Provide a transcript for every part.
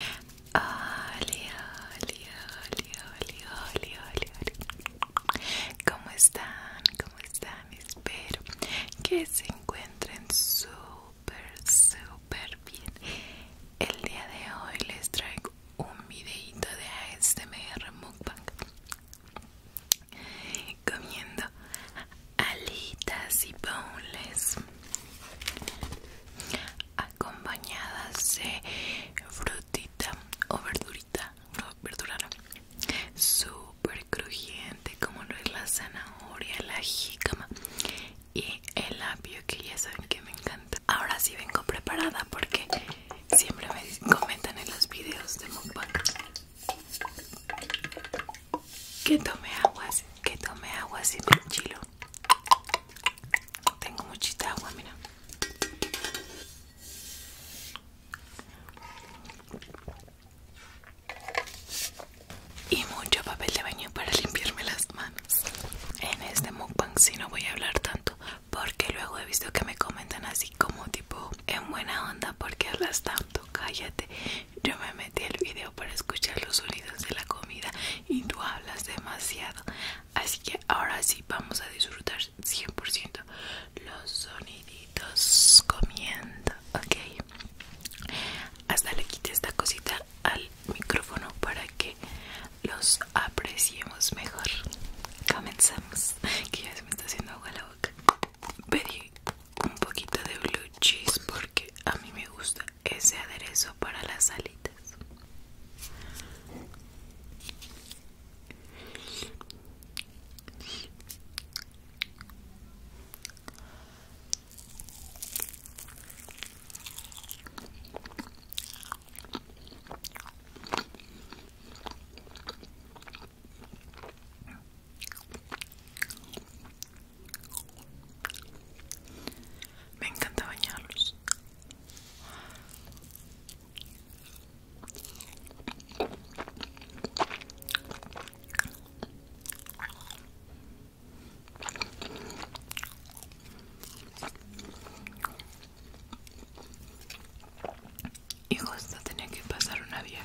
Hola, hola, hola, hola, hola, hola. ¿Cómo están? ¿Cómo están? Espero que se encuentren súper, súper bien. El día de hoy les traigo un videito de ASMR Mukbang comiendo alitas y boneless acompañadas de frutita o verdurita, verdura no, crujiente como lo es la zanahoria, la jícama y el apio que ya saben que me encanta. Ahora sí vengo preparada porque siempre me comentan en los videos de mukbang que tome aguas, que tome aguas y me chilo tengo muchita agua, mira. Y mucho papel de baño para limpiarme las manos. En este mukbang si no voy a hablar tanto porque luego he visto que me comentan así como tipo en buena onda porque hablas tanto, cállate. Yo me metí el video para escuchar los sonidos de la comida y tú hablas demasiado. Así que ahora sí vamos a disfrutar 100% los soniditos comiendo, ¿ok? Hasta le quité esta cosita al micrófono para que los apreciemos mejor. Comenzamos, que ya se me está haciendo agua la boca. Pedí un poquito de blue cheese porque a mí me gusta ese aderezo para las salitas me encanta bañarlos. Y justo tenía que pasar una vieja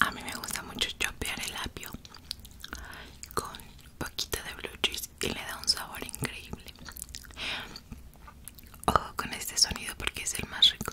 A mí me gusta mucho chopear el apio con poquito de blue cheese y le da un sabor increíble. Ojo con este sonido porque es el más rico.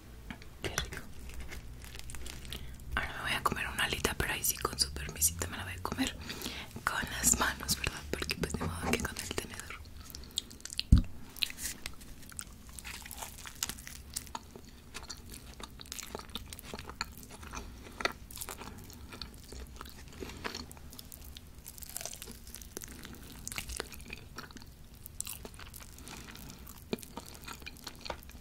Qué rico. Ahora me voy a comer una alita, pero ahí sí con su permisita me la voy a comer con las manos, ¿verdad? Porque pues de modo que con el tenedor.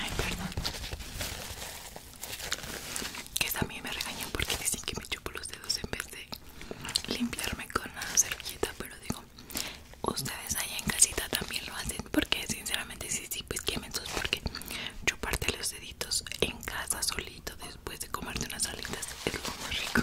Ay, perdón. Que también me regañan porque dicen que me chupo los dedos en vez de limpiarme con la servilleta, pero digo, ustedes allá en casita también lo hacen porque sinceramente sí, sí, pues sus porque chuparte los en casa solito después de comerte unas alitas es lo rico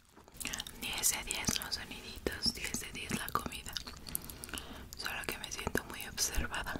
10 de 10 los soniditos, 10 de 10 la comida. Solo que me siento muy observada.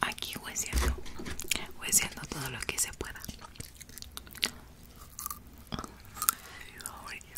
Aquí voy haciendo todo lo que se pueda.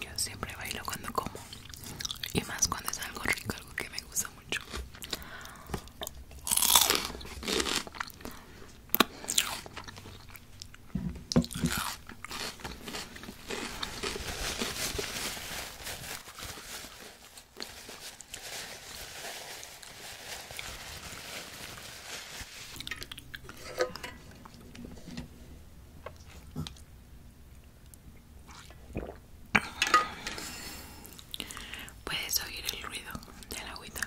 Yo siempre bailo cuando como y más cuando es algo rico, algo que me gusta mucho. Puedes oír el ruido de la agüita.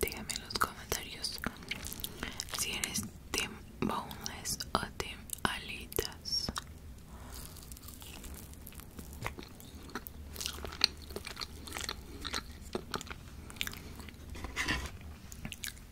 Dígame en los comentarios si eres team boneless o team alitas.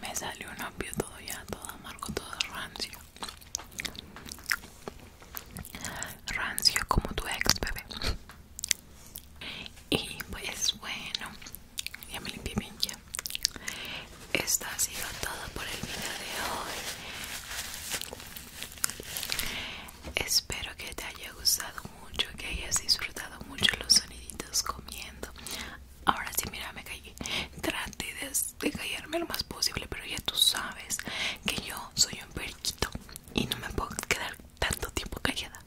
Me salió un apio todo ya, todo amargo, todo rancio. Rancio como tu ex, bebé. Y pues bueno, ya me limpié bien ya. Esto ha sido todo por el video de hoy. Espero que te haya gustado mucho, que hayas disfrutado mucho los soniditos comiendo. Ahora sí, mira, me callé. Trate de, callarme lo más posible, pero ya tú sabes que yo soy un periquito y no me puedo quedar tanto tiempo callada.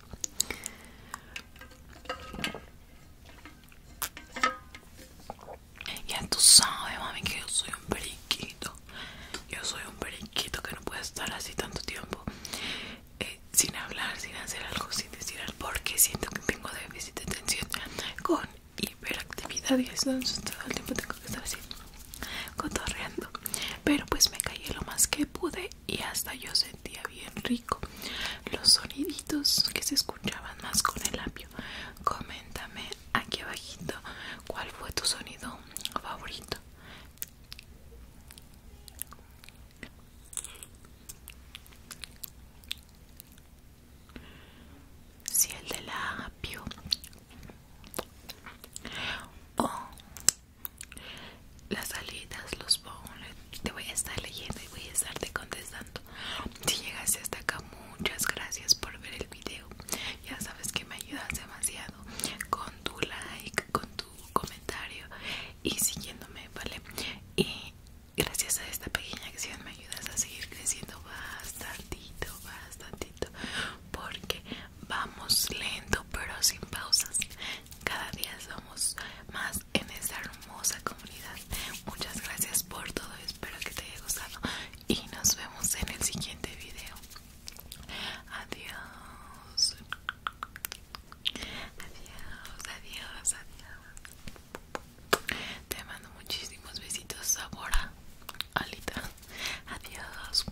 Ya tú sabes, mami, que yo soy un periquito. Yo soy un periquito que no puede estar así tanto tiempo. Eh, sin hablar, sin hacer algo, sin decir algo, porque siento que tengo déficit de atención con hiperactividad y eso entonces todo el tiempo tengo que estar así cotorreando. Pero pues me callé lo más que pude y hasta yo sentía bien rico los soniditos que se escuchaban más con el labio. Coméntame aquí abajito cuál fue tu sonido favorito si el de la o las salidas, los bonos te voy a estar leyendo y voy a estarte contestando si llegaste hasta acá muchas gracias por ver el video ya sabes que me ayudas demasiado con tu like, con tu comentario y siguiéndome, ¿vale? Y gracias a esta pequeña acción me ayudas a seguir creciendo bastantito, bastantito, porque vamos lento pero sin pausas. Cada día somos más en esta hermosa comunidad. Muchas gracias por todo, espero que te haya gustado y nos vemos en el siguiente video. Adiós. Adiós, adiós, adiós. Te mando muchísimos besitos, Ahora, Alita. Adiós.